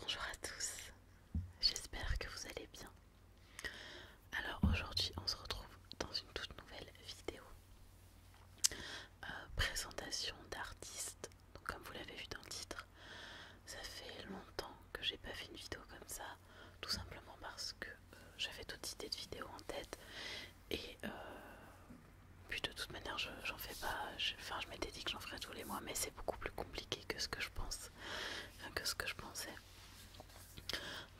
Bonjour à tous, j'espère que vous allez bien. Alors aujourd'hui on se retrouve dans une toute nouvelle vidéo. Euh, présentation d'artistes. Donc comme vous l'avez vu dans le titre, ça fait longtemps que j'ai pas fait une vidéo comme ça, tout simplement parce que euh, j'avais toute idées de vidéo en tête et euh, puis de toute manière j'en fais pas, enfin, je m'étais dit que j'en ferais tous les mois, mais c'est beaucoup plus compliqué que ce que je pense, que ce que je pensais.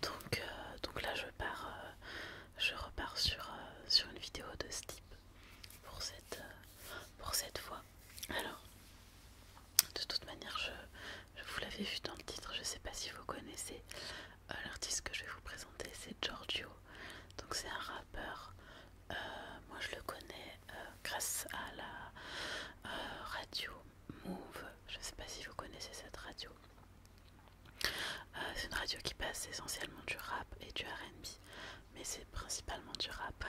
Donc, euh, là, je pars, euh, je repars euh, sur, une vidéo de ce type pour cette, fois. Alors, de toute manière, je, vous l'avais vu dans le titre, je ne sais pas si vous connaissez l'artiste que je vais vous présenter, c'est Giorgio. Donc c'est un euh, moi je le connais euh, grâce à la euh, radio Move. Je ne sais pas si vous connaissez cette radio. c'est une radio qui passe essentiellement du rap et du RB, mais c'est principalement du rap.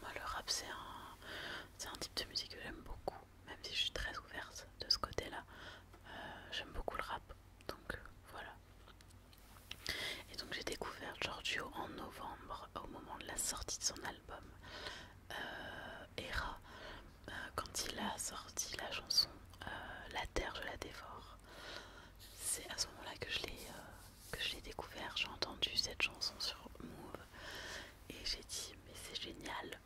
moi le rap c'est un, un type de musique que j'aime beaucoup, même si je suis très ouverte de ce côté-là. j'aime beaucoup le rap, donc voilà. Et donc j'ai découvert Giorgio en novembre au moment de la sortie de son album Hera euh, Era, euh, quand il a sorti la chanson euh, La Terre, je la dévore. C'est à ce moment-là que je l'ai découvert, j'ai entendu cette chanson sur Move et j'ai dit mais c'est génial.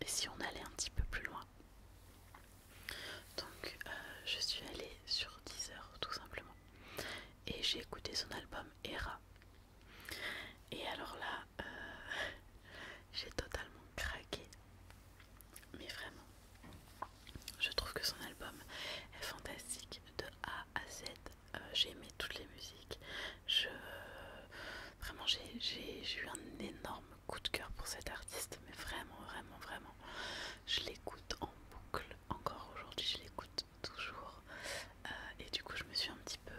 Et si on allait un petit peu plus loin donc je suis allée sur Deezer tout simplement et j'ai écouté son album ERA Et alors là, euh, j'ai totalement craqué. Mais vraiment, je trouve que son album est fantastique de A à Z. Euh, j'ai aimé toutes les musiques. Je, vraiment, j'ai eu un énorme coup de cœur pour cet artiste. Mais vraiment, vraiment, vraiment. Je l'écoute en boucle. Encore aujourd'hui, je l'écoute toujours. Euh, et du coup, je me suis un petit peu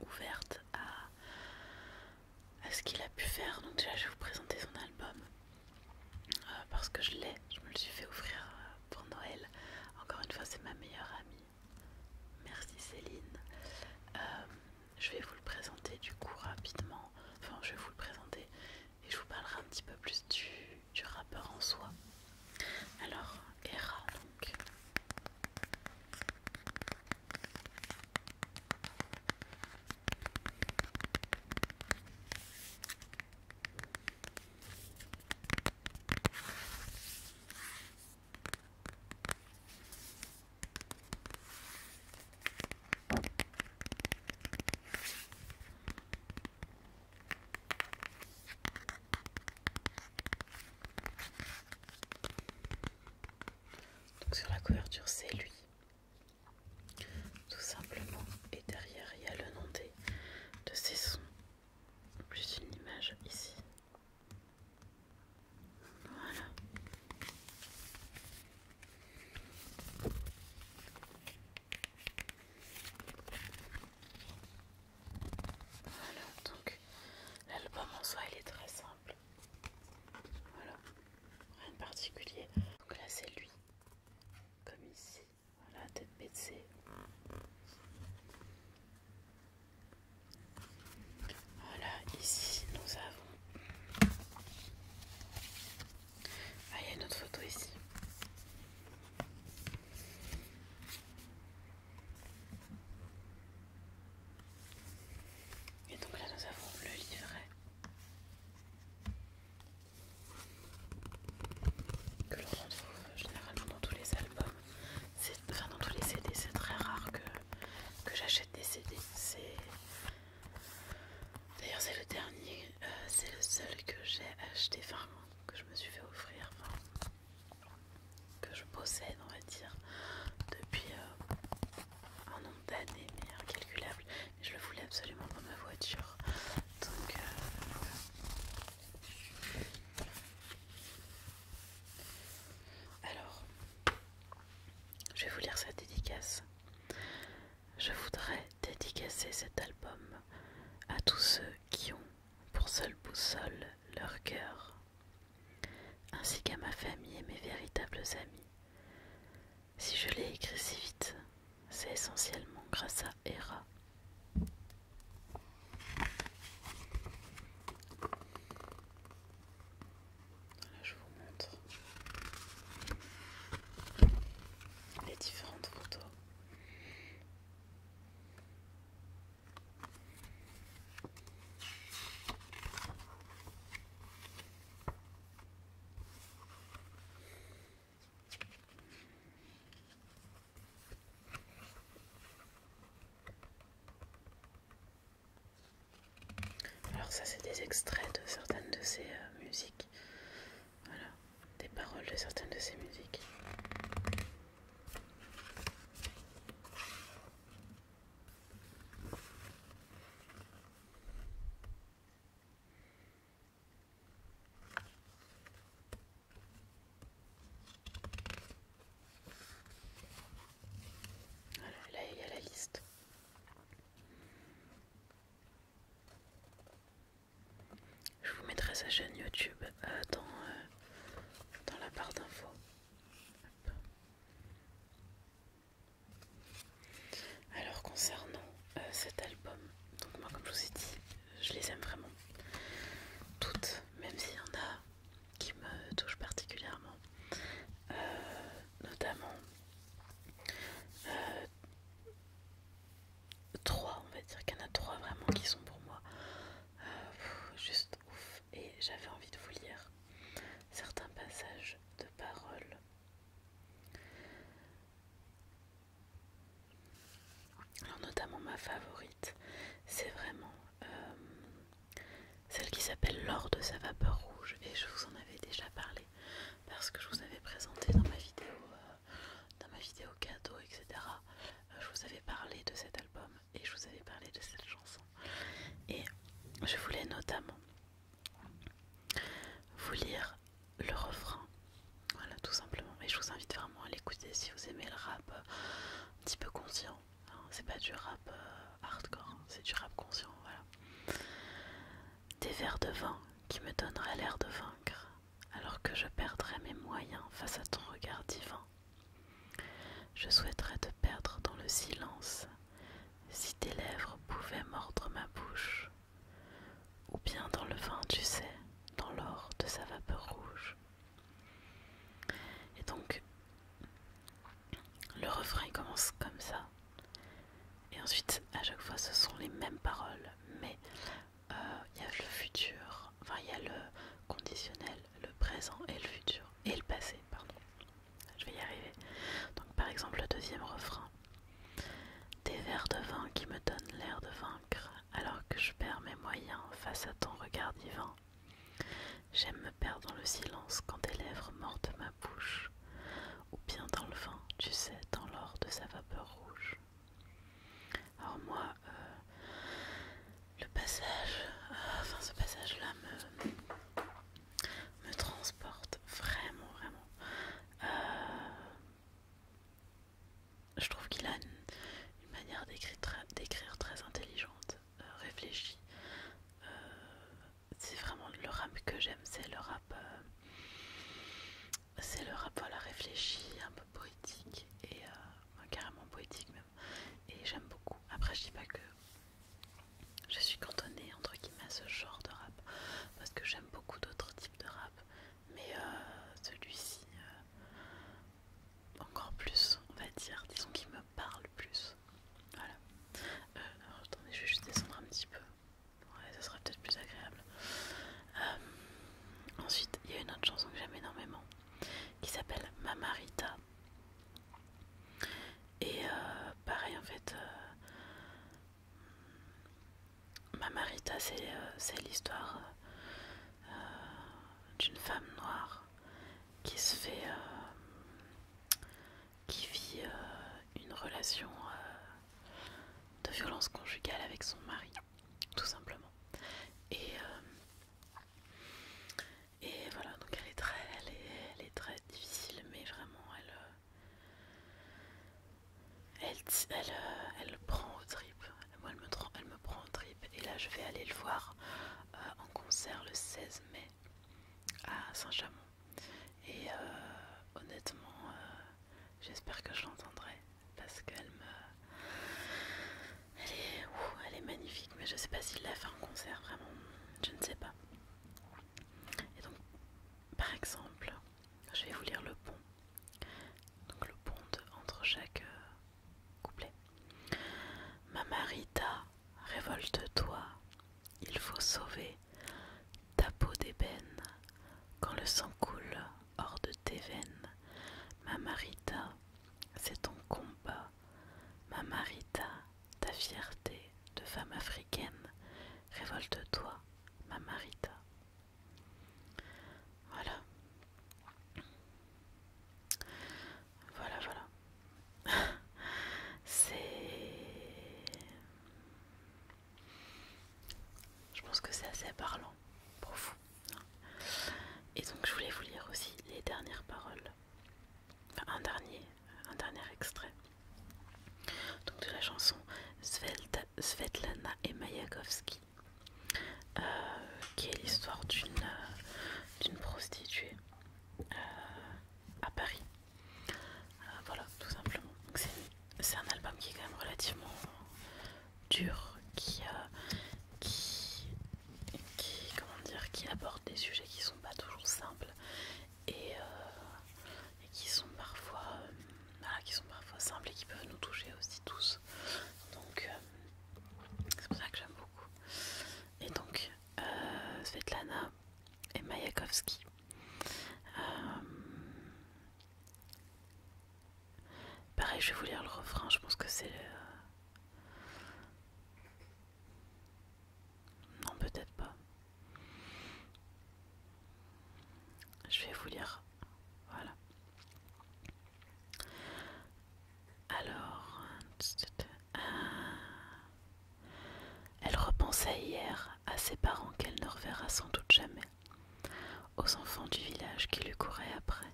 ouverte à, ce qu'il a pu faire. Donc, déjà, je vais vous présenter son album euh, parce que je l'ai, je me le suis fait offrir euh, pour Noël. Encore une fois, c'est ma meilleure amie. Merci Céline. je vais vous le présenter du coup rapidement. Enfin, je vais vous le présenter et je vous parlerai un petit peu plus du du rappeur en soi. Alors, ERA donc. Donc sur la couverture c'est lui, tout simplement, et derrière il y a le nom des, de ses sons, plus une image ici. Voilà. Voilà, donc l'album en soi il est très simple. Voilà, rien de particulier. Donc là c'est lui, comme ici. Voilà, tête baissée. Voilà, ici nous avons. Ah, il y a une autre photo ici. Et donc là nous avons le livret que l'on retrouve généralement dans tous les albums, enfin dans tous les CD, c'est très rare que, que j'achète des CD. D'ailleurs c'est le dernier, euh, c'est le seul que j'ai acheté, enfin que je me suis fait offrir, que je possède, on va dire, depuis euh, un nombre d'années, incalculable. je le voulais absolument dans ma voiture. Donc, euh, Alors, je vais vous lire sa dédicace. Je voudrais dédicacer cet album à tous ceux qui ont pour seule boussole leur cœur, ainsi qu'à ma famille et mes véritables amis. Si je l'ai écrit si vite, c'est essentiellement grâce à Hera. Là, je vous montre les différentes photos. Alors ça c'est des extraits de certaines de ces euh, musiques des paroles de certaines de ses musiques. là il y a la liste. Je vous mettrai sa chaîne YouTube euh, dans, euh, dans la barre d'infos. Alors concernant euh, cet album, donc moi comme je vous ai dit, je les aime vraiment toutes, même s'il y en a qui me touchent particulièrement, notamment trois, on va dire qu'il y en a trois vraiment qui sont pour moi euh, juste ouf. Et j'avais envie de vous lire certains passages de paroles. Alors notamment ma favorite, c'est vraiment euh, celle qui s'appelle L'or de sa vapeur rouge et je vous en avais déjà parlé parce que je vous avais présenté dans ma vidéo, euh, dans ma vidéo cadeau, etc je vous avais parlé de cet album et je vous avais parlé de cette chanson. Et je voulais notamment vous lire le refrain. Voilà, tout simplement. Et je vous invite vraiment à l'écouter si vous aimez le rap un petit peu conscient. Hein. C'est pas du rap euh, hardcore, hein. c'est du rap conscient. Voilà. Des vers de vin qui me donneraient l'air de vaincre, alors que je perdrais mes moyens face à ton regard divin. Je souhaiterais te perdre dans le silence, si tes lèvres pouvaient mordre ma bouche, ou bien dans le vin, tu sais, dans l'or de sa vapeur rouge. Et donc, le refrain commence comme ça. Et ensuite, à chaque fois, ce sont les mêmes paroles, mais il euh, y a le futur, enfin il y a le conditionnel, le présent et le futur, et le passé, pardon. Je vais y arriver. Donc par exemple le deuxième refrain. Des verres de vin qui me donnent l'air de vaincre, alors que je perds mes moyens face à ton regard divin. J'aime me perdre dans le silence quand tes lèvres mordent ma bouche, ou bien dans le vin, tu sais, dans l'or de sa vapeur rouge. Alors moi, euh, le passage, euh, enfin ce passage-là me, transporte vraiment, vraiment. Euh, je trouve qu'il a une, manière d'écrire très intelligente, réfléchie. c'est vraiment le rap que j'aime, c'est le rap, c'est le rap réfléchi, un peu poétique et euh, carrément poétique même. Et j'aime beaucoup. Après je dis pas que je suis cantonnée entre guillemets à ce genre de rap, parce que j'aime beaucoup d'autres types de rap, mais euh, celui-ci euh, encore plus, on va dire, disons qu'il me parle plus. Voilà. attendez, je vais juste descendre un petit peu. Ouais, ça sera peut-être plus agréable. ensuite, il y a une autre chanson que j'aime énormément qui s'appelle Mamarita. Et euh, pareil en fait, euh, Mamarita c'est euh, l'histoire d'une femme noire qui se fait... qui vit une relation de violence conjugale avec son mari tout simplement. Et, euh, et voilà, donc elle est très, elle est, très difficile, mais vraiment elle. Euh, euh, elle, prend au trip moi elle me, elle me prend trip trip, et là je vais aller le voir en concert le 16 mai à Saint-Chamond et honnêtement j'espère que je l'entendrai parce qu'elle me... Elle est... magnifique, mais je sais pas s'il l'a fait en concert, vraiment, je ne sais pas. Et donc, par exemple, je vais vous lire le pont. Donc le pont entre chaque euh, couplet. couplet. Mamarita, révolte-toi, il faut sauver ta peau d'ébène quand le sang coule hors de tes veines. c'est ton combat. Mamarita, ta fierté de femme africaine. Révolte-toi, ma marita. Voilà. Voilà, voilà. C'est... Je pense que c'est assez parlant pour vous. Et donc je voulais vous lire aussi les dernières paroles, enfin un dernier, un dernier extrait donc de la chanson Svetlana et Mayakovsky, euh, qui est l'histoire d'une euh, prostituée euh, à Paris. voilà, tout simplement. C'est un album qui est quand même relativement dur euh, qui, qui, comment dire, qui aborde des sujets qui sont pas toujours simples et, euh, qui sont parfois, euh, qui sont parfois simples et qui peuvent nous toucher aussi tous. Donc c'est pour ça que j'aime beaucoup. Et donc Svetlana et Mayakovsky. pareil, je vais vous lire le refrain. Je pense que c'est le... Non, peut-être pas. Je vais vous lire. Voilà. Alors, elle repensait hier à ses parents qu'elle ne reverra sans doute jamais, aux enfants du village qui lui couraient après,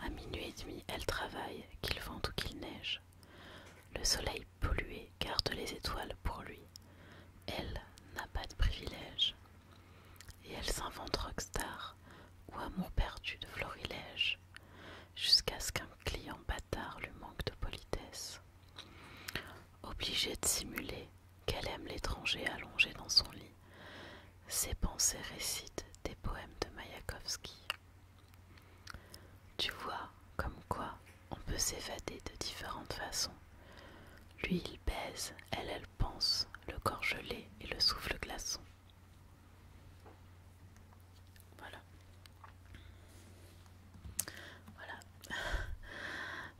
à minuit et demi, elle travaille, qu'il vente ou qu'il neige. Le soleil pollué garde les étoiles pour lui. Elle n'a pas de privilège. Et elle s'invente rockstar ou amour perdu de florilège, jusqu'à ce qu'un client bâtard lui manque de politesse. Obligée de simuler qu'elle aime l'étranger allongé dans son lit, ces pensées récitent des poèmes de Mayakovsky. Tu vois, comme quoi on peut s'évader de différentes façons. Lui, il baise, elle, elle pense, le corps gelé et le souffle glaçon. Voilà. Voilà.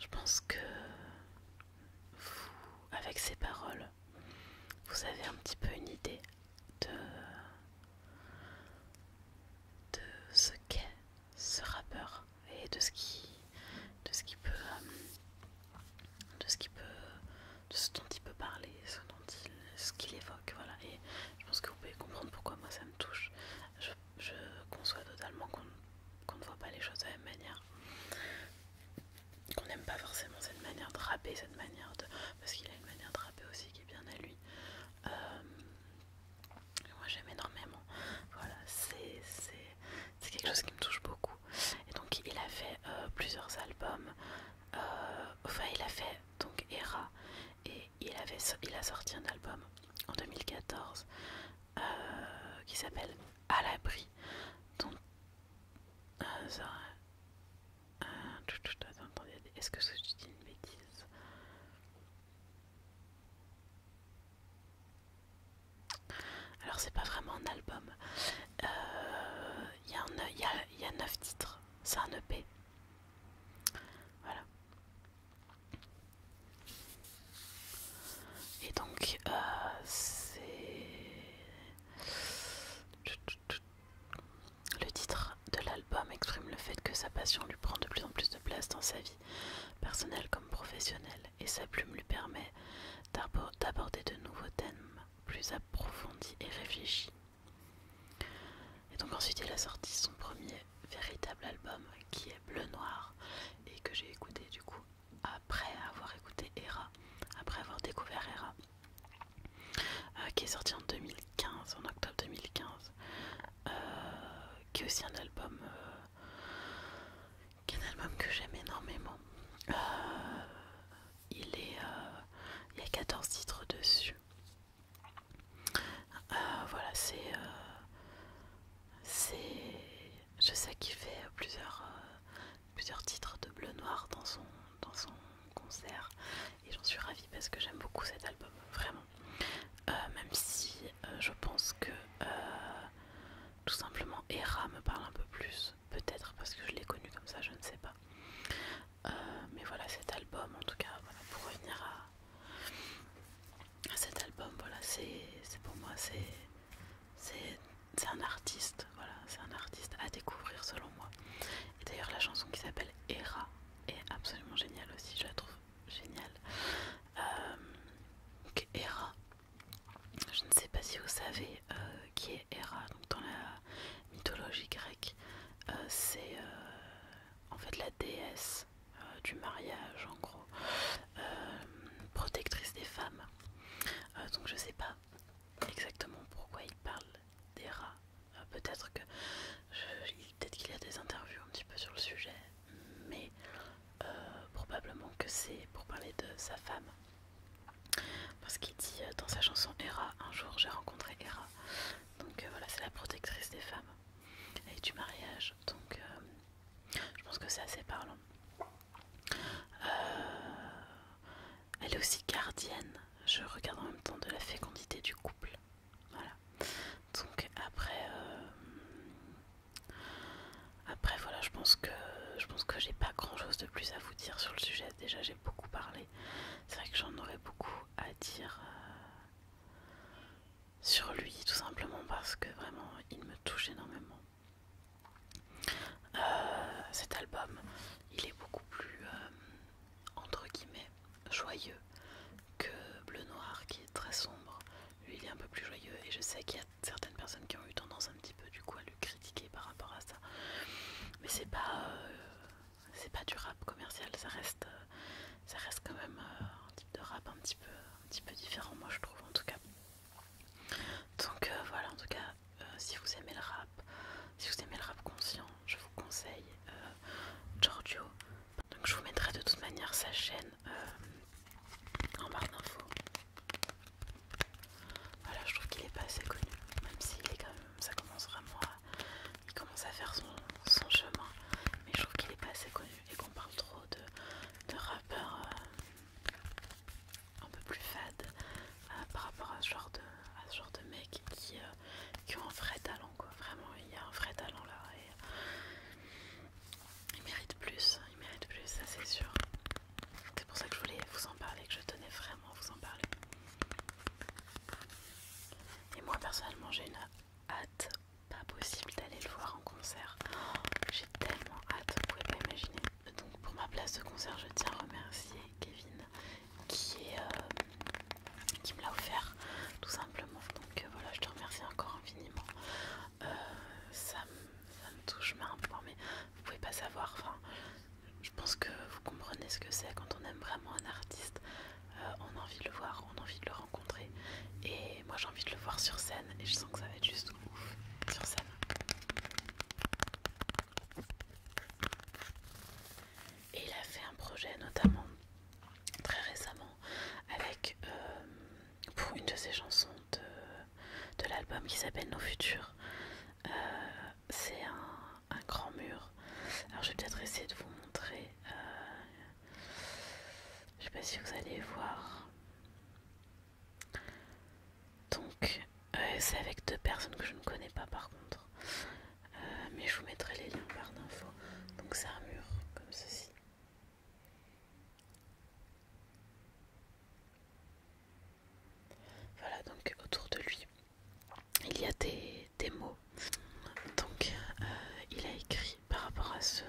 Je pense que vous, avec ces paroles, vous avez un petit peu une idée de, ce qu'est ce rappeur et de ce qui de ce qui peut euh, de ce qui peut de ce dont il peut parler ce dont il ce qu'il évoque voilà et je pense que vous pouvez comprendre pourquoi moi ça me touche je, conçois totalement qu'on ne voit pas les choses de la même manière qu'on n'aime pas forcément cette manière de rapper, cette manière de. Parce qu'il a une manière de rapper aussi qui est bien à lui. Euh, moi j'aime énormément. Voilà, c'est quelque chose qui me touche beaucoup. Et donc il a fait euh, plusieurs albums. Euh, enfin, il a fait donc Era. Et il, avait, il a sorti un album en 2014 qui s'appelle À l'abri. Donc est-ce que, tu dis une bêtise Alors, c'est pas vraiment un album. Il euh, y, a, neuf 9 titres, c'est un EP. Voilà. Et donc, euh, c'est. Le titre de l'album exprime le fait que sa passion lui prend de plus en plus de place dans sa vie, personnelle comme professionnelle, et sa plume lui permet d'aborder de nouveaux thèmes plus approfondis et réfléchis. Et donc ensuite il a sorti son premier véritable album qui est Bleu Noir et que j'ai écouté du coup après avoir écouté Hera, après avoir découvert Hera. Euh, qui est sorti en 2015, en octobre 2015, euh, qui est aussi un album, euh, qui est un album que j'aime énormément. il est, il y a 14 titres dessus. voilà, c'est, c'est, je sais qu'il fait plusieurs plusieurs titres de bleu noir dans son, dans son concert et j'en suis ravie parce que j'aime beaucoup cet album, vraiment. Euh, même si euh, je pense que euh, tout simplement Hera me parle un peu plus, peut-être parce que je l'ai connu comme ça, je ne sais pas. mais voilà cet album, en tout cas, pour revenir à, à cet album, voilà, c'est pour moi, c'est un artiste voilà, c'est un artiste à découvrir selon moi. Et d'ailleurs, la chanson qui s'appelle Hera est absolument géniale aussi. Je la trouve géniale. Euh, donc Hera, je ne sais pas si vous savez euh, qui est Hera. Donc dans la mythologie grecque, euh, c'est en fait la déesse du mariage, en gros, protectrice des femmes. donc je ne sais pas exactement pourquoi il parle d'Hera euh, peut-être que peut-être qu'il y a des interviews un petit peu sur le sujet, mais euh, probablement que c'est pour parler de sa femme. Parce qu'il dit euh, dans sa chanson Hera, un jour j'ai rencontré Hera. Donc voilà, c'est la protectrice des femmes et du mariage. Donc je pense que c'est assez parlant. Elle est aussi gardienne. Je regarde en même temps de la fécondité du couple. Voilà. Donc après, euh, après voilà, je pense que je pense que j'ai pas grand chose de plus à vous dire sur le sujet. Déjà, j'ai beaucoup parlé. C'est vrai que j'en aurais beaucoup à dire euh, sur lui, tout simplement parce que vraiment, il me touche énormément. Euh, cet album, il est beaucoup plus entre guillemets joyeux que bleu noir qui est très sombre. Lui il est un peu plus joyeux et je sais qu'il y a certaines personnes qui ont eu tendance un petit peu du coup à le critiquer par rapport à ça. Mais c'est pas euh, c'est pas du rap commercial, ça reste euh, ça reste quand même euh, un type de rap un petit peu un différent moi je trouve en tout cas. Donc voilà en tout cas euh, si vous aimez le rap, si vous aimez le rap conscient, je vous conseille euh, Giorgio. Donc je vous mettrai de toute manière sa chaîne euh, en barre d'infos. Voilà, je trouve qu'il est pas assez connu, même s'il est quand même, ça commence vraiment à, il commence à faire son, chemin, mais je trouve qu'il est pas assez connu et qu'on parle trop de, rappeurs un peu plus fades euh, par rapport à ce genre de, ce genre de mecs euh, qui, ont un vrai talent quoi. Vraiment, il y a un vrai talent là et euh, il mérite plus, il mérite plus, ça c'est sûr. C'est pour ça que je voulais vous en parler, que je tenais vraiment à vous en parler. Et moi personnellement, j'ai une hâte pas possible d'aller le voir en concert. Oh, j'ai tellement hâte, vous pouvez pas imaginer. Donc pour ma place de concert, je tiens à remercier Kevin qui, est, euh, qui me l'a offert tout simplement. Donc euh, voilà, je te remercie encore infiniment. Euh, ça, me, touche me touche, mais Vous pouvez pas savoir. Enfin, je pense que vous comprenez ce que c'est quand on aime vraiment un artiste. on a envie de le voir, on a envie de le rencontrer. Et moi j'ai envie de le voir sur scène et je sens que ça va être juste ouf sur scène. Et il a fait un projet notamment très récemment avec euh, pour une de ses chansons de, l'album qui s'appelle Nos Futurs. Euh, c'est un, grand mur. Alors je vais peut-être essayer de vous montrer. je euh, je sais pas si vous allez voir. Donc, c'est avec deux personnes que je ne connais pas par contre. Euh, mais je vous mettrai les liens en barre d'infos. Donc c'est un mur comme ceci. Voilà, donc autour de lui, il y a des, mots. Donc euh, il a écrit par rapport à ce,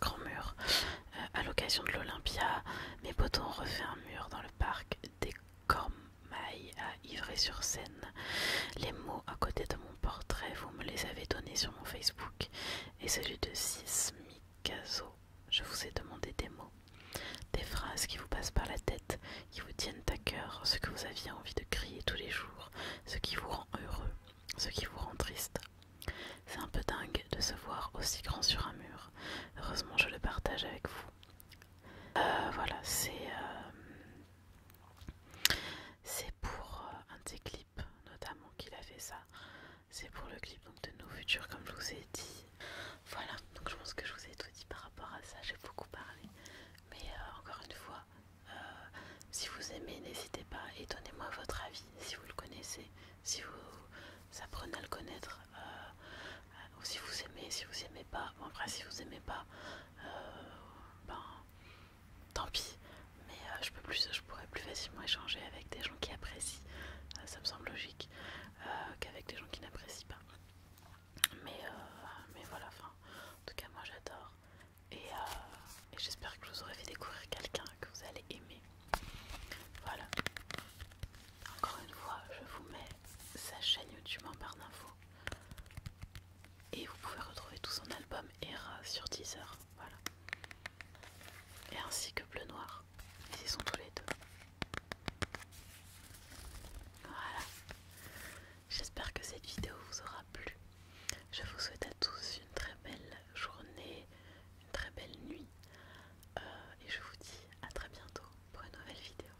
grand mur, euh, à l'occasion de l'Olympia, mes potons ont refait un mur dans le parc, des comme a à sur scène. Les mots à côté de mon portrait, vous me les avez donnés sur mon Facebook et celui de Sismicazo. Je vous ai demandé des mots, des phrases qui vous passent par la tête, qui vous tiennent à cœur, ce que vous aviez envie de crier tous les jours, ce qui vous rend heureux, ce qui vous rend triste. C'est un peu dingue de se voir aussi grand sur un mur. Heureusement, je le partage avec vous. Euh, voilà, c'est euh, pour euh, un de clips notamment qu'il a fait ça. C'est pour le clip de nos futurs, comme je vous ai dit. Voilà, donc je pense que je vous ai tout dit par rapport à ça. J'ai beaucoup parlé, mais encore une fois, si vous aimez, n'hésitez pas et donnez-moi votre avis si vous le connaissez, si vous apprenez à le connaître. ou si vous aimez, si vous aimez pas, enfin si vous aimez pas, euh, ben tant pis, mais euh, je pourrais plus facilement échanger avec des gens qui apprécient, euh, ça me semble logique, qu'avec des gens qui n'apprécient pas. Mais, mais voilà, enfin, en tout cas moi j'adore et, et j'espère que je vous aurai fait découvrir quelqu'un que vous allez aimer. Voilà. Encore une fois, je vous mets sa chaîne YouTube en barre d'infos. Et vous pouvez retrouver tout son album Era sur Deezer. Voilà. Et ainsi que Bleu Noir. Ils sont tous les deux. Voilà. J'espère que cette vidéo vous aura plu. Je vous souhaite à tous une très belle journée, une très belle nuit. Euh, et je vous dis à très bientôt pour une nouvelle vidéo.